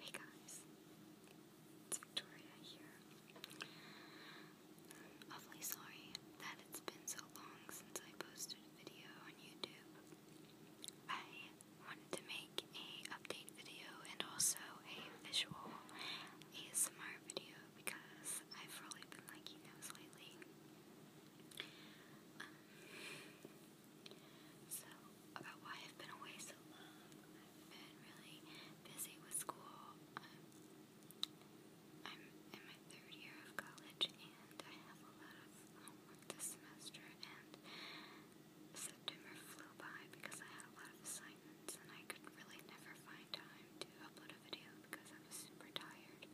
Hey guys, Victoria here. I'm sorry that it's been so long since I posted a video on YouTube. I wanted to make a update video and also a visual ASMR video because I've really been liking those lately. Um, so, about why I've been away so long. been really busy with school. Um, I'm in my third year of college and I have a lot of homework this semester and September flew by because I had a lot of assignments and I could really never find time to upload a video because I was super tired.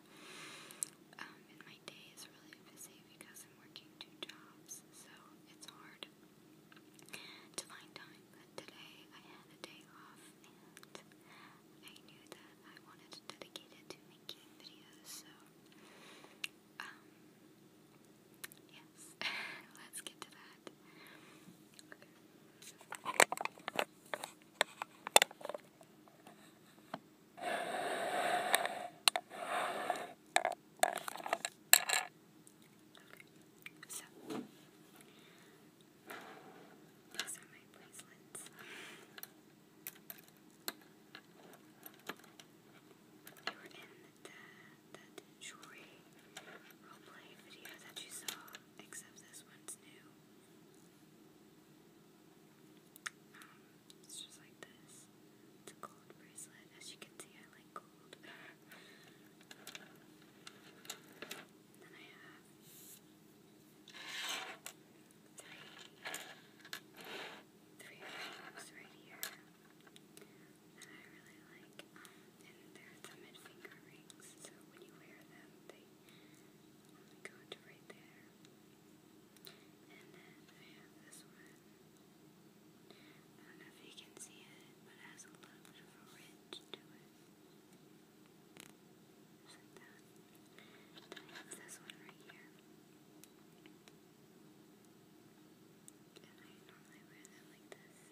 Um, my day is really busy because I'm working two jobs, so it's hard to find time. But today I had a day off, and I knew that I wanted to dedicate it to making videos, so um, yes, let's get to that. So, those are my bracelets. They were in the, that jewelry roleplay video that you saw, except this one's new it's just like this. It's a gold bracelet. As you can see, I like gold. then I have three, three rings right here that I really like. Um, and they're the mid finger rings, so when you wear them, they go to right there. And I don't know if you can see it, but has a little bit of a ridge to it. Then I this one right here. And I normally wear them like this.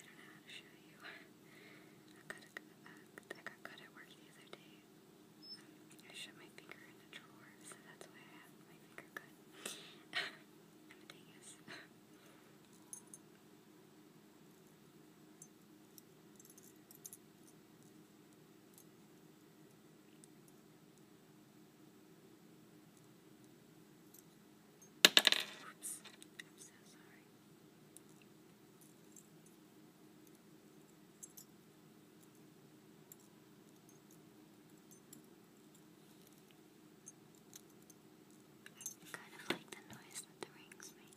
I don't know how to show you. I got, a, at work the other day I shut my finger in the drawer, so that's why I have my finger cut. I'm a dingus. Oops, I'm so sorry. Kind of like the noise that the rings make.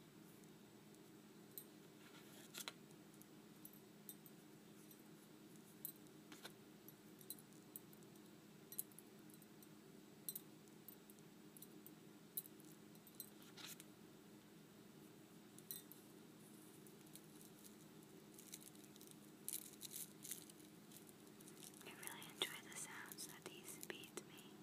I really enjoy the sounds that these beats make.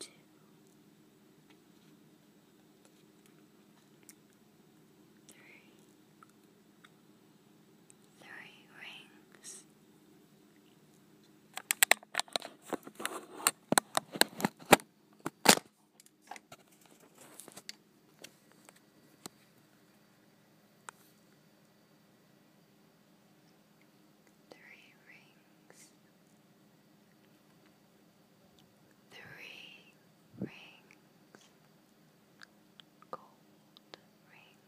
Two. Three. rings. Three rings, three rings, gold rings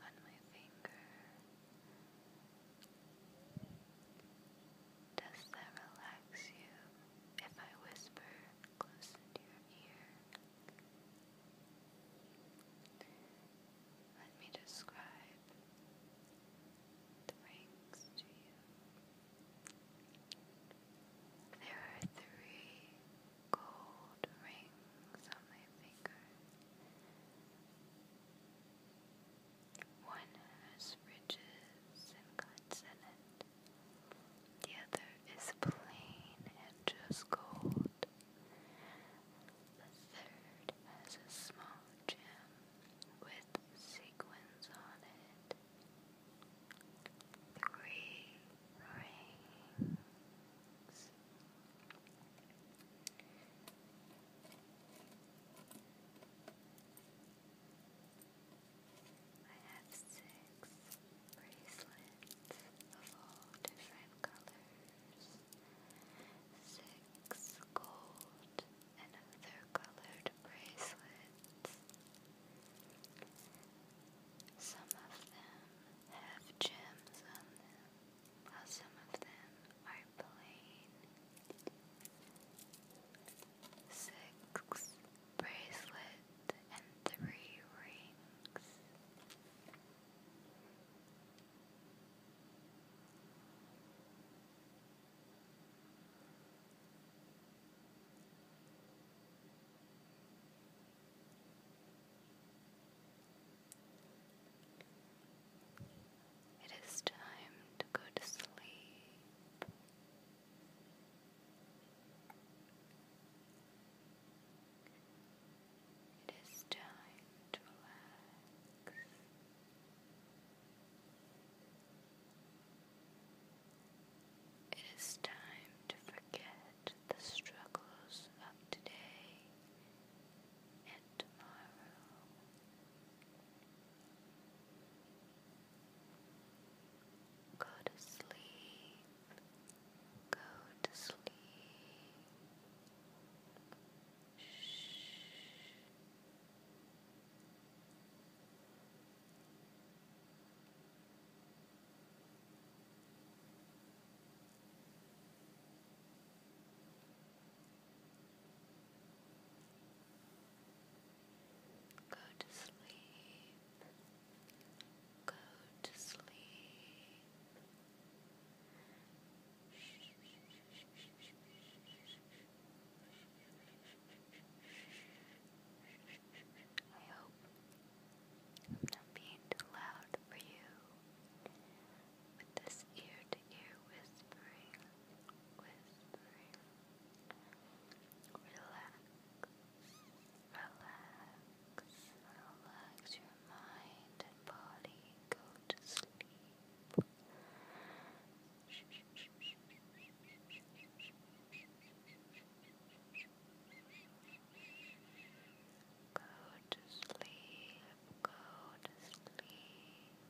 on my finger. Does that relax you if I whisper close into your ear? Let me describe the rings to you. There are three gold rings on my finger. One has ridges and cuts in it. The other is plain and just gold. The third has a small gem with sequins on it. Three rings. I have six bracelets of all different colors, six gold and other colored bracelets. Some of them have gems on them how some of them are plain. Six bracelet and three rings. Seven it is time to go to sleep. It is time to relax. It is time to forget the struggles of today and tomorrow. Go to sleep. Go to sleep. Shh. Go to sleep. Go to sleep. I hope I'm not being too loud for you with this ear-to-ear -ear whispering, whispering. Relax, relax, relax your mind and body. Go to sleep. Go to sleep, go to sleep.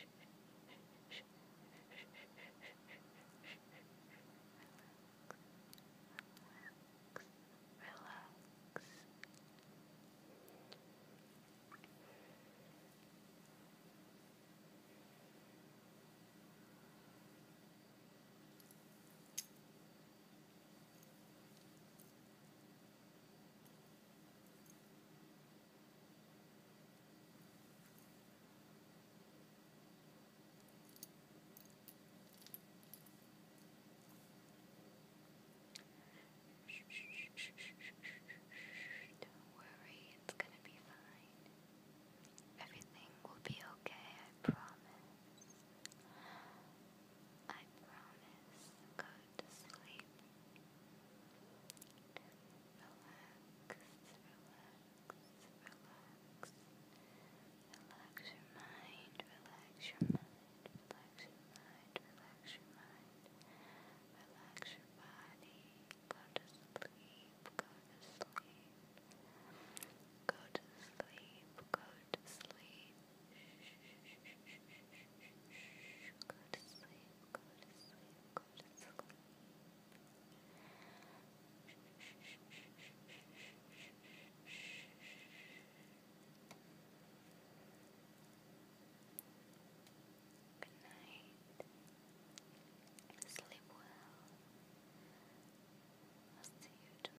Relax, relax, relax. Good. Don't worry, it's gonna be fine. Everything will be okay, I promise. I promise go to sleep. Relax, relax, relax. Relax your mind, relax your mind, relax your mind, relax your mind. Relax your body. Go to sleep, go to sleep. Go to sleep, go to sleep. Go to sleep, go to sleep, go to sleep. Good night. Sleep well. I'll see you tomorrow.